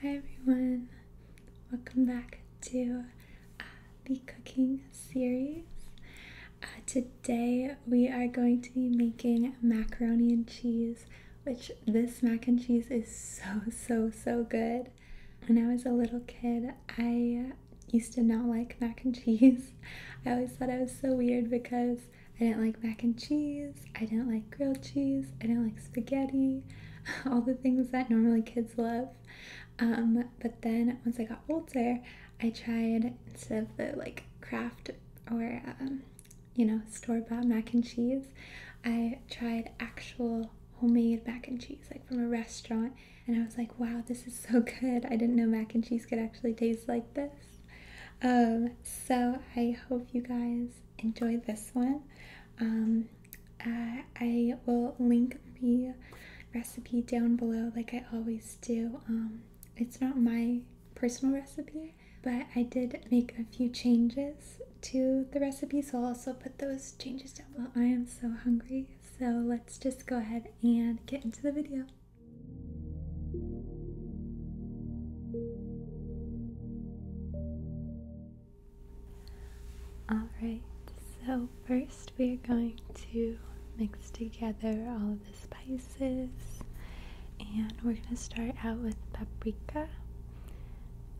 Hi everyone, welcome back to uh, the cooking series. Uh, today we are going to be making macaroni and cheese, which this mac and cheese is so, so, so good. When I was a little kid, I used to not like mac and cheese. I always thought I was so weird because I didn't like mac and cheese. I didn't like grilled cheese. I didn't like spaghetti. All the things that normally kids love. Um, but then once I got older, I tried instead of the like craft or um, you know store bought mac and cheese, I tried actual homemade mac and cheese like from a restaurant, and I was like, wow, this is so good. I didn't know mac and cheese could actually taste like this. Um, so I hope you guys enjoy this one. Um, I will link the recipe down below, like I always do. Um, it's not my personal recipe, but I did make a few changes to the recipe, so I'll also put those changes down below. I am so hungry, so let's just go ahead and get into the video. Alright, so first we are going to mix together all of the spices and we're going to start out with paprika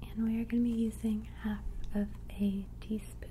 and we are going to be using half of a teaspoon.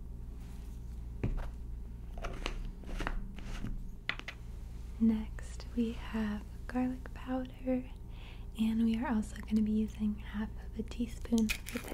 Next, we have garlic powder, and we are also going to be using half of a teaspoon for this.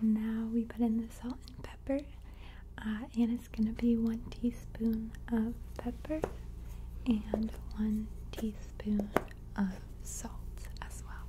Now we put in the salt and pepper, uh, and it's going to be one teaspoon of pepper and one teaspoon of salt as well.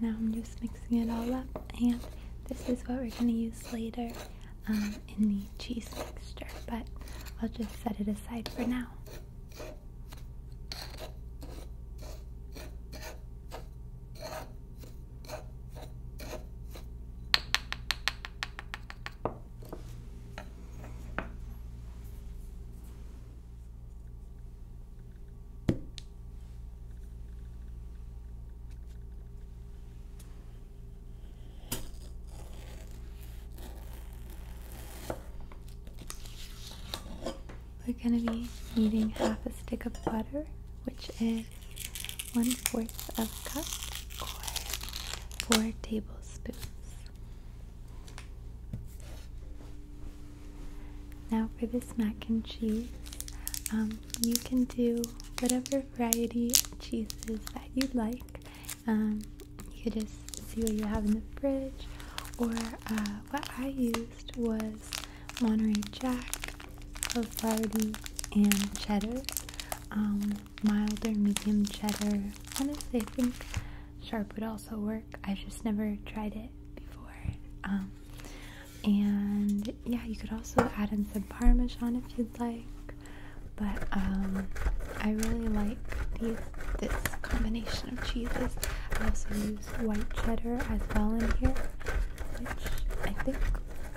Now I'm just mixing it all up and this is what we're going to use later um, in the cheese mixture, but I'll just set it aside for now. We're going to be needing half a stick of butter, which is one fourth of a cup or four tablespoons. Now for this mac and cheese, um, you can do whatever variety of cheeses that you like. Um, you could just see what you have in the fridge, or uh, what I used was Monterey Jack, Havarti, and cheddar. Um, Milder medium cheddar. Honestly, I think sharp would also work. I've just never tried it before and yeah you could also add in some parmesan if you'd like but um, i really like this combination of cheeses i also use white cheddar as well in here which i think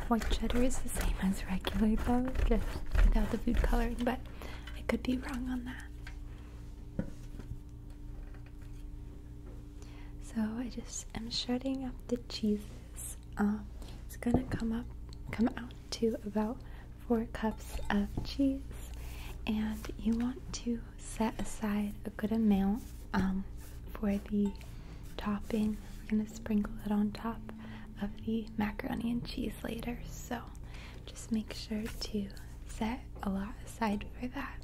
white cheddar is the same as regular though just without the food coloring but i could be wrong on that so I just am shredding up the cheeses. Um, it's gonna come up, come out to about four cups of cheese, and you want to set aside a good amount um, for the topping. We're gonna sprinkle it on top of the macaroni and cheese later, so just make sure to set a lot aside for that.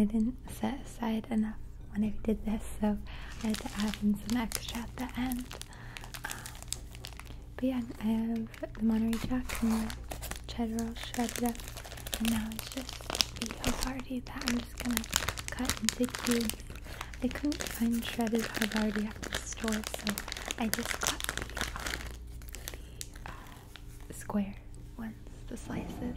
I didn't set aside enough when I did this, so I had to add in some extra at the end. Um, but yeah, I have the Monterey Jack and the cheddar all shredded up. And now it's just the Havarti that I'm just gonna cut into cubes. I couldn't find shredded Havarti at the store, so I just cut the, uh, uh, square ones, the slices.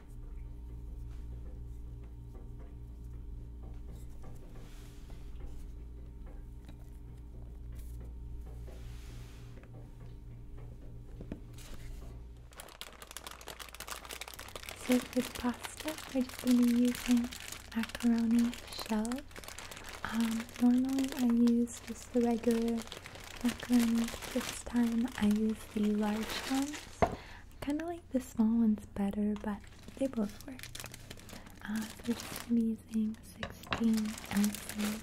So pasta, we're just going to be using macaroni shells. Um, normally I use just the regular macaroni, this time I use the large ones. I kind of like the small ones better, but they both work. Uh, they are just amazing. 16 ounces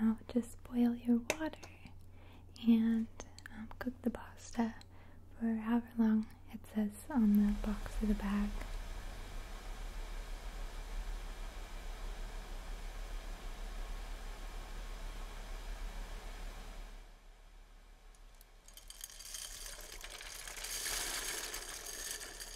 Now just boil your water and um, cook the pasta for however long it says on the box of the bag.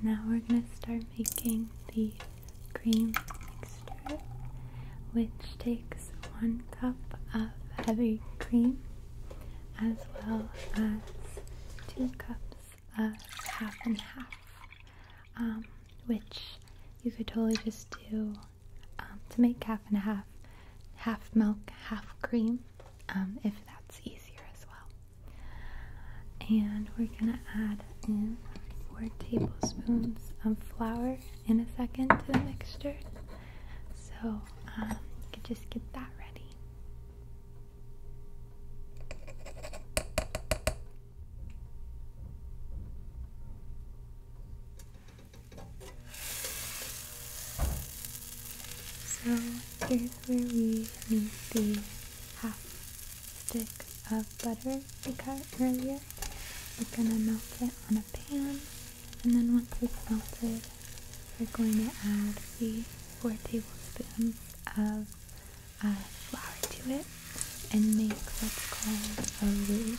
Now we're going to start making the cream mixture, which takes one cup of heavy cream as well as two cups of half and half, um, which you could totally just do um, to make half and half, half milk, half cream, um, if that's easier as well. And we're gonna add and four tablespoons of flour in a second to the mixture. So um, you just get that ready. So here's where we need the half stick of butter we cut earlier. We're gonna melt it on a pan, and then once it's melted, we're going to add the 4 tablespoons of uh, flour to it and make what's called a roux.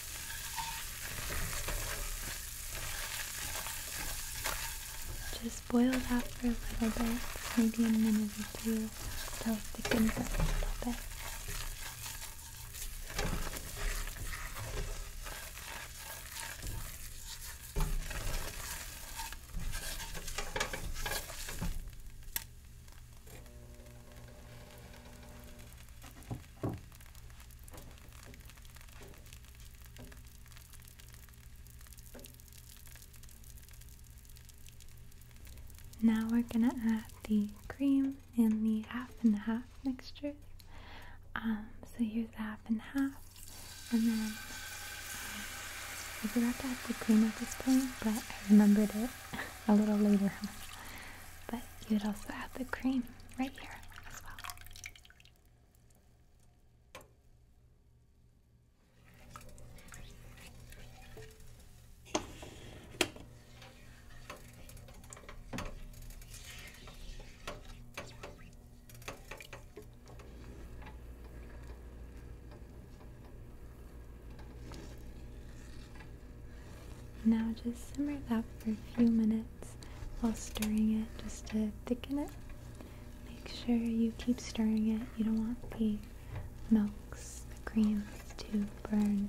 Just boil that for a little bit, maybe a minute or two, till it thickens up a little bit. Now we're gonna add the cream in the half and half mixture. Um, so here's the half and half, and then um, I forgot to add the cream at this point, but I remembered it a little later But you would also add the cream right here as well. Now just simmer that for a few minutes while stirring it just to thicken it. Make sure you keep stirring it. You don't want the milks, the creams to burn.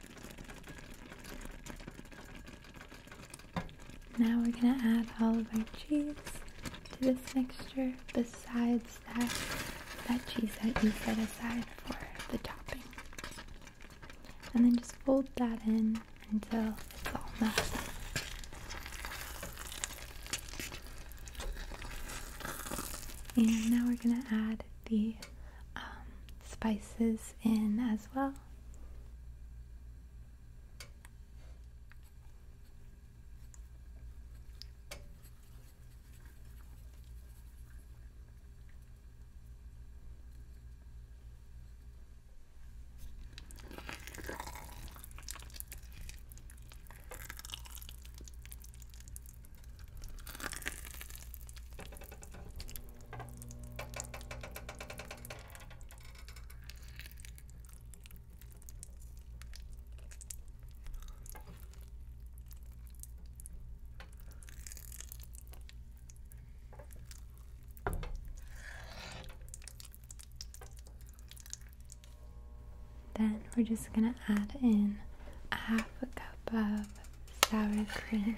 Now we're going to add all of our cheese to this mixture besides that, that cheese that you set aside for the topping. And then just fold that in until it's all melted. And now we're going to add the um, spices in as well. Then we're just going to add in a half a cup of sour cream.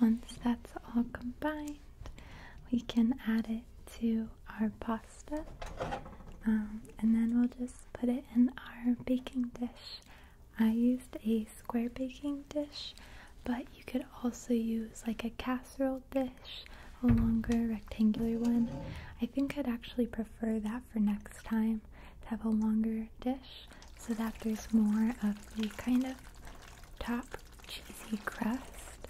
Once that's all combined, we can add it to our pasta um, and then we'll just put it in our baking dish. I used a square baking dish, but you could also use like a casserole dish, a longer rectangular one. I think I'd actually prefer that for next time to have a longer dish so that there's more of the kind of top cheesy crust,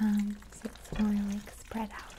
um, so it's more like spread out.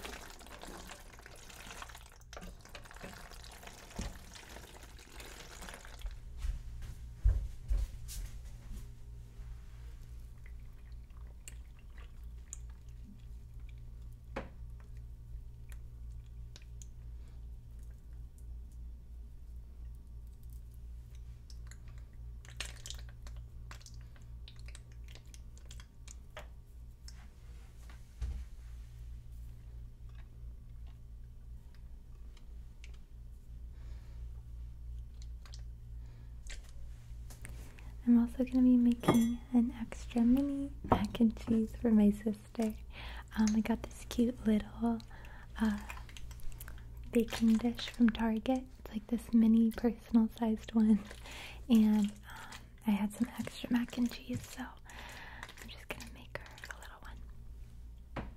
I'm also going to be making an extra mini mac and cheese for my sister. Um, I got this cute little little baking dish from Target. It's like this mini personal sized one. And um, I had some extra mac and cheese, so I'm just gonna make her a little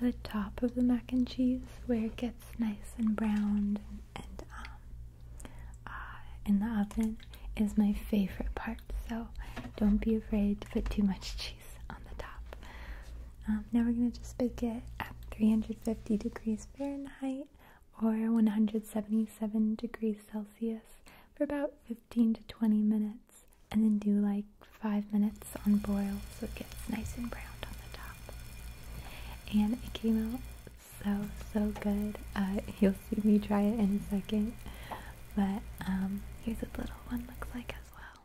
one. The top of the mac and cheese, where it gets nice and browned and, um, uh, in the oven, is my favorite part. So don't be afraid to put too much cheese on the top. Um, now we're going to just bake it at 350 degrees Fahrenheit or 177 degrees Celsius for about 15 to 20 minutes and then do like 5 minutes on boil so it gets nice and browned on the top. And it came out so, so good. Uh, you'll see me try it in a second. But um, here's what the little one looks like as well.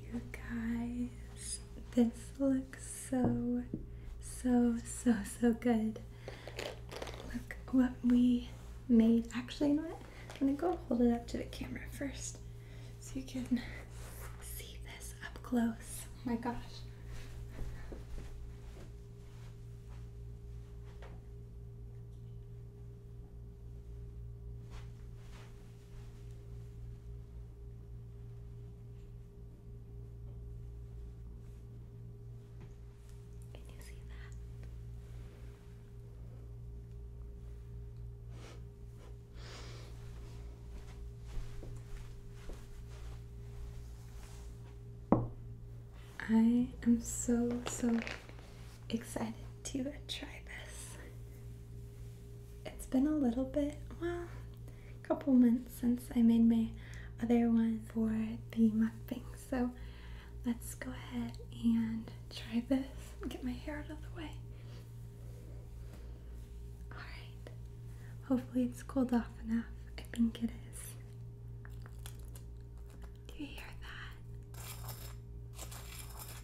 You guys, this looks so, so, so, so good. Look what we made. Actually, you know what? I'm gonna go hold it up to the camera first so you can see this up close. Oh my gosh. Can you see that? I am so so excited to try this. It's been a little bit, well, a couple months since I made my other one for the mukbang, so let's go ahead and try this. Get my hair out of the way. Alright, hopefully it's cooled off enough. I think it is. Do you hear that?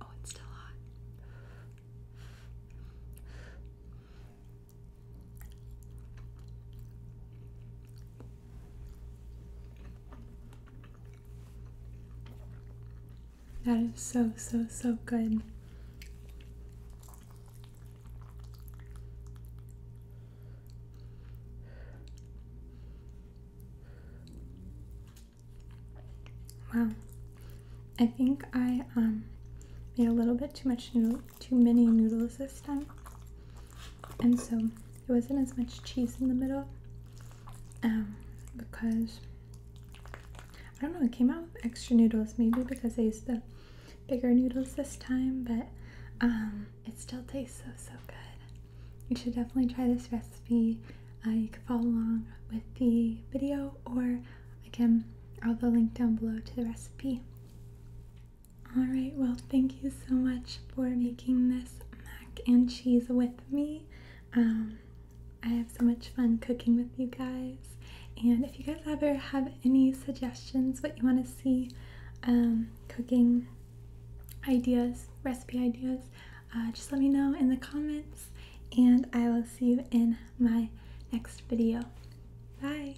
Oh, it's still hot. That is so, so, so good. Wow. I think I um, made a little bit too much too many noodles this time. And so there wasn't as much cheese in the middle. Um because I don't know, it came out with extra noodles, maybe because I used the bigger noodles this time, but um it still tastes so so good. You should definitely try this recipe uh, you can follow along with the video or again i'll have a link down below to the recipe all right well thank you so much for making this mac and cheese with me um, i have so much fun cooking with you guys and if you guys ever have any suggestions what you want to see um, cooking ideas recipe ideas uh, just let me know in the comments, and I will see you in my next video. Bye!